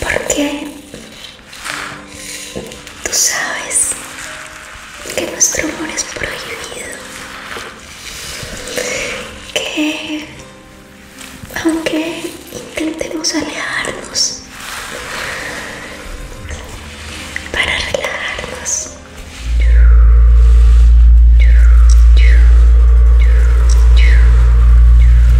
Porque tú sabes que nuestro amor es prohibido. Que aunque intentemos alejarnos para relajarnos.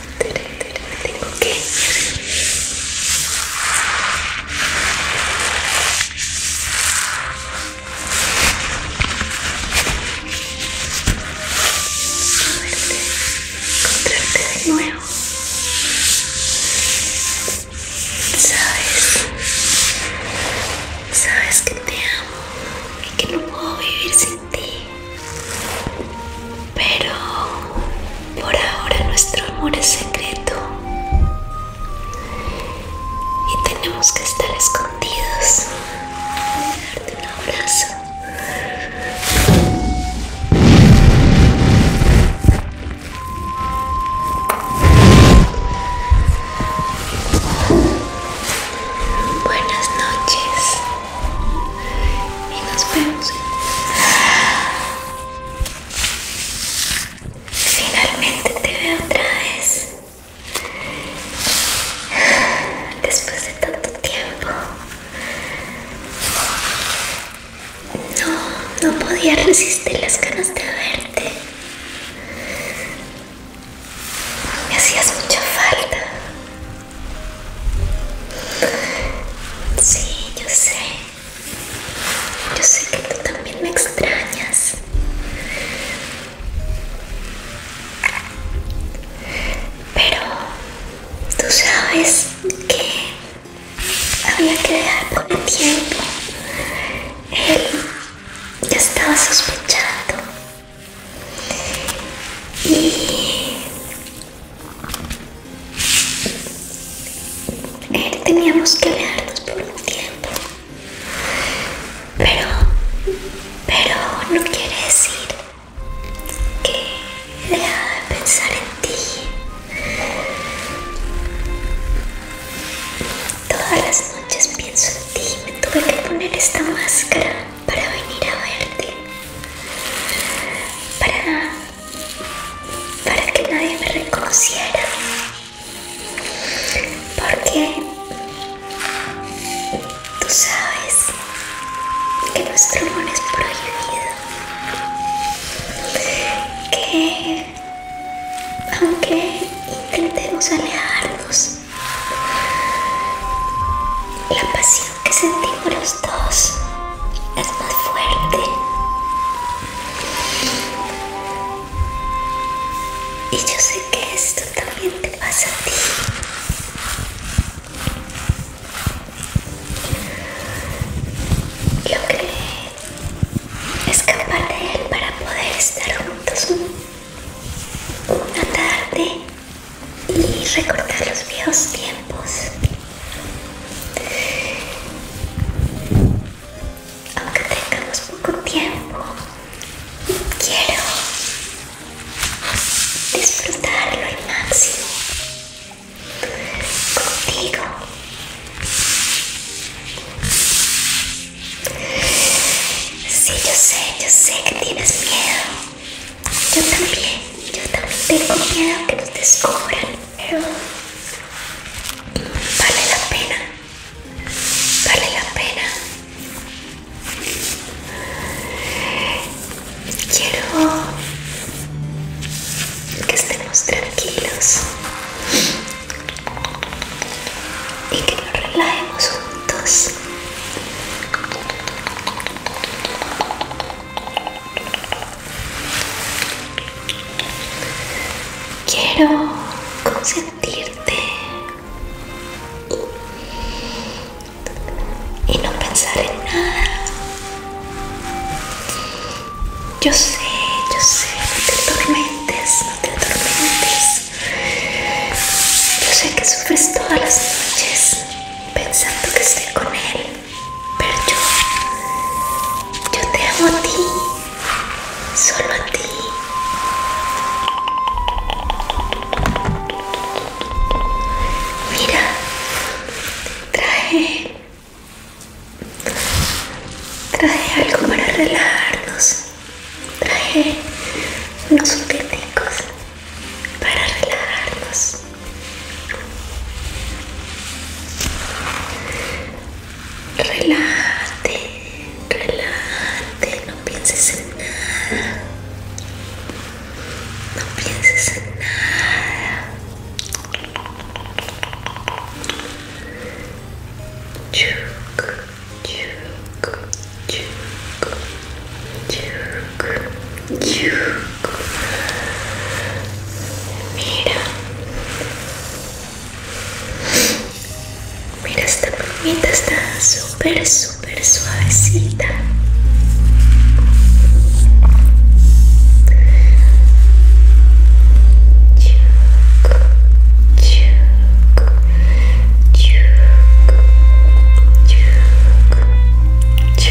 tengo que encontrarte de nuevo sabes sabes que te amo y que no puedo vivir sin ti pero por ahora nuestro amor es secreto y tenemos que estar escondidos. darte un abrazo. Buenas noches y nos vemos finalmente te veo otra vez después de tanto tiempo no, no podía resistir las ganas de verte me hacías mucha falta Sí, yo sé. Yo sé que tú también me extrañas. Pero tú sabes que había que dejar por el tiempo. Él ya estaba sospechando. Y Teníamos que leernos por un tiempo. Pero, pero no quiere decir que he de pensar en ti. Todas las noches pienso en ti. Me tuve que poner esta máscara para venir a verte, para, para que nadie me reconociera, porque tú sabes que nuestro amor es prohibido, que aunque intentemos alejarnos, la pasión que sentimos los dos es más fuerte. Y yo sé que esto también te pasa a ti. Logré escapar de él para poder estar juntos una tarde y recordar los viejos tiempos. Aunque tengamos poco tiempo, quiero disfrutarlo al máximo contigo. Sí, yo sé, yo sé que tienes miedo. Yo también, yo también tengo miedo que nos descubran, vale la pena, vale la pena. Quiero que estemos tranquilos y que nos relajemos juntos. Quiero consentirte y no pensar en nada. Yo sé, yo sé, no te atormentes, no te atormentes. Yo sé que sufres todas las noches pensando que estoy con él, pero yo, yo te amo a ti, solo a ti. Mira, traje, traje algo para relajarnos, traje unos cosas para relajarnos. Relate, relate, no pienses en nada. No pienses en nada. Chuk, chuk, chuk. Mira, mira esta plumita está súper, súper suavecita. Chuc, chuc, chuc,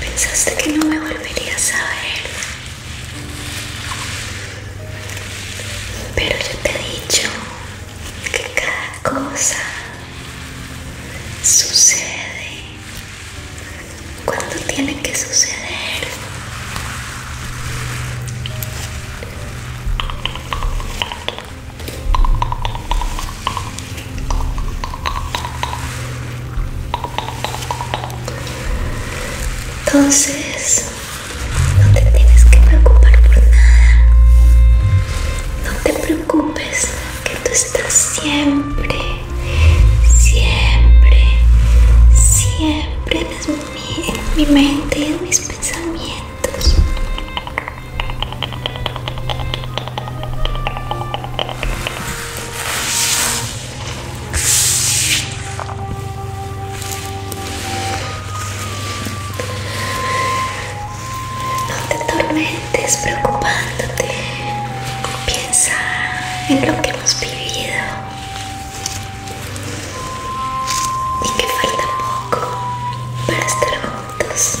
Pensaste que no me volverías a ver. Pero yo te he dicho que cada cosa sucede cuando tiene que suceder. Entonces, no te tienes que preocupar por nada. No te preocupes, que tú estás siempre, siempre, siempre en mi, mente y en mis pensamientos. No te tormentes preocupándote. Piensa en lo que hemos vivido y que falta poco para estar juntos.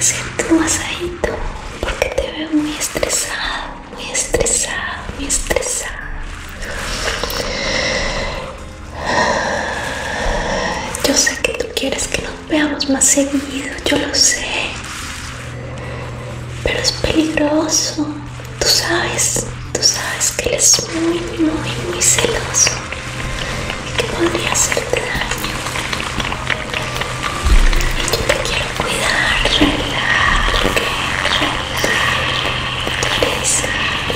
Siento un masajito porque te veo muy estresado, muy estresado, muy estresado. Yo sé que tú quieres que no veamos más seguido, yo lo sé. Pero es peligroso. Tú sabes, tú sabes que él es muy, muy, muy celoso. Y que podría hacerte daño. Y yo te quiero cuidar, relájate, relájate. Tú eres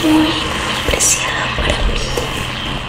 muy, muy preciado para mí.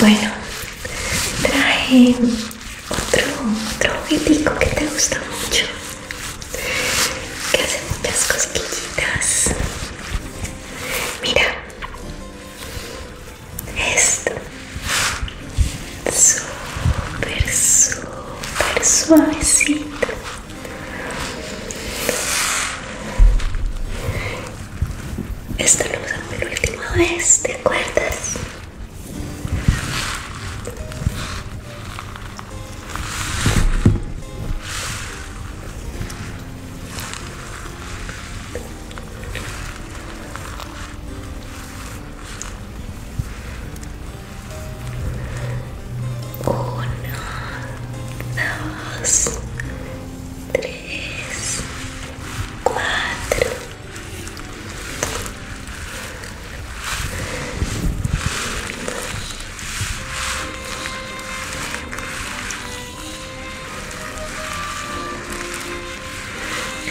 Bueno, traje otro, otro juguetico que te gusta mucho, que hace muchas cosquillitas. Mira, esto, super súper suavecito esta luz la última vez, ¿te acuerdas? Uno, dos, tres, cuatro.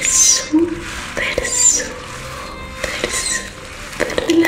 Súper, la Muy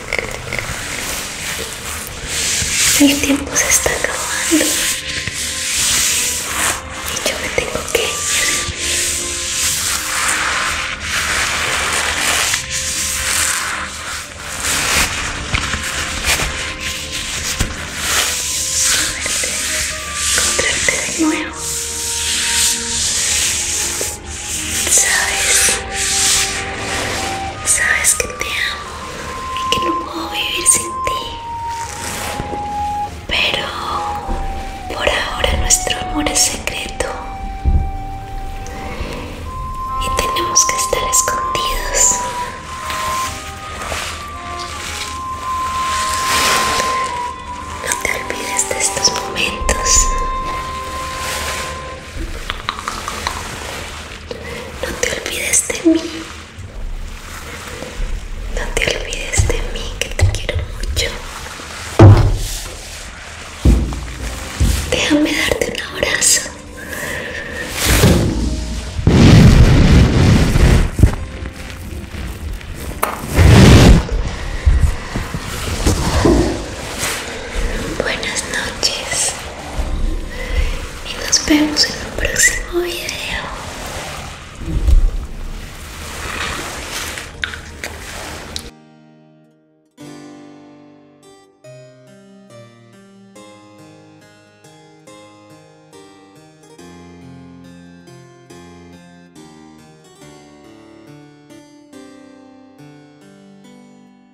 El tiempo se está acabando y yo me tengo que ir. a encontrarte de nuevo. Sabes, sabes que te amo y que no puedo vivir sin ti. Pero por ahora nuestro amor es secreto y tenemos que estar escondidos. No te olvides de estos momentos. No te olvides de mí. No te olvides de mí, que te quiero mucho. Déjame darte un abrazo. Buenas noches y nos vemos en un próximo video.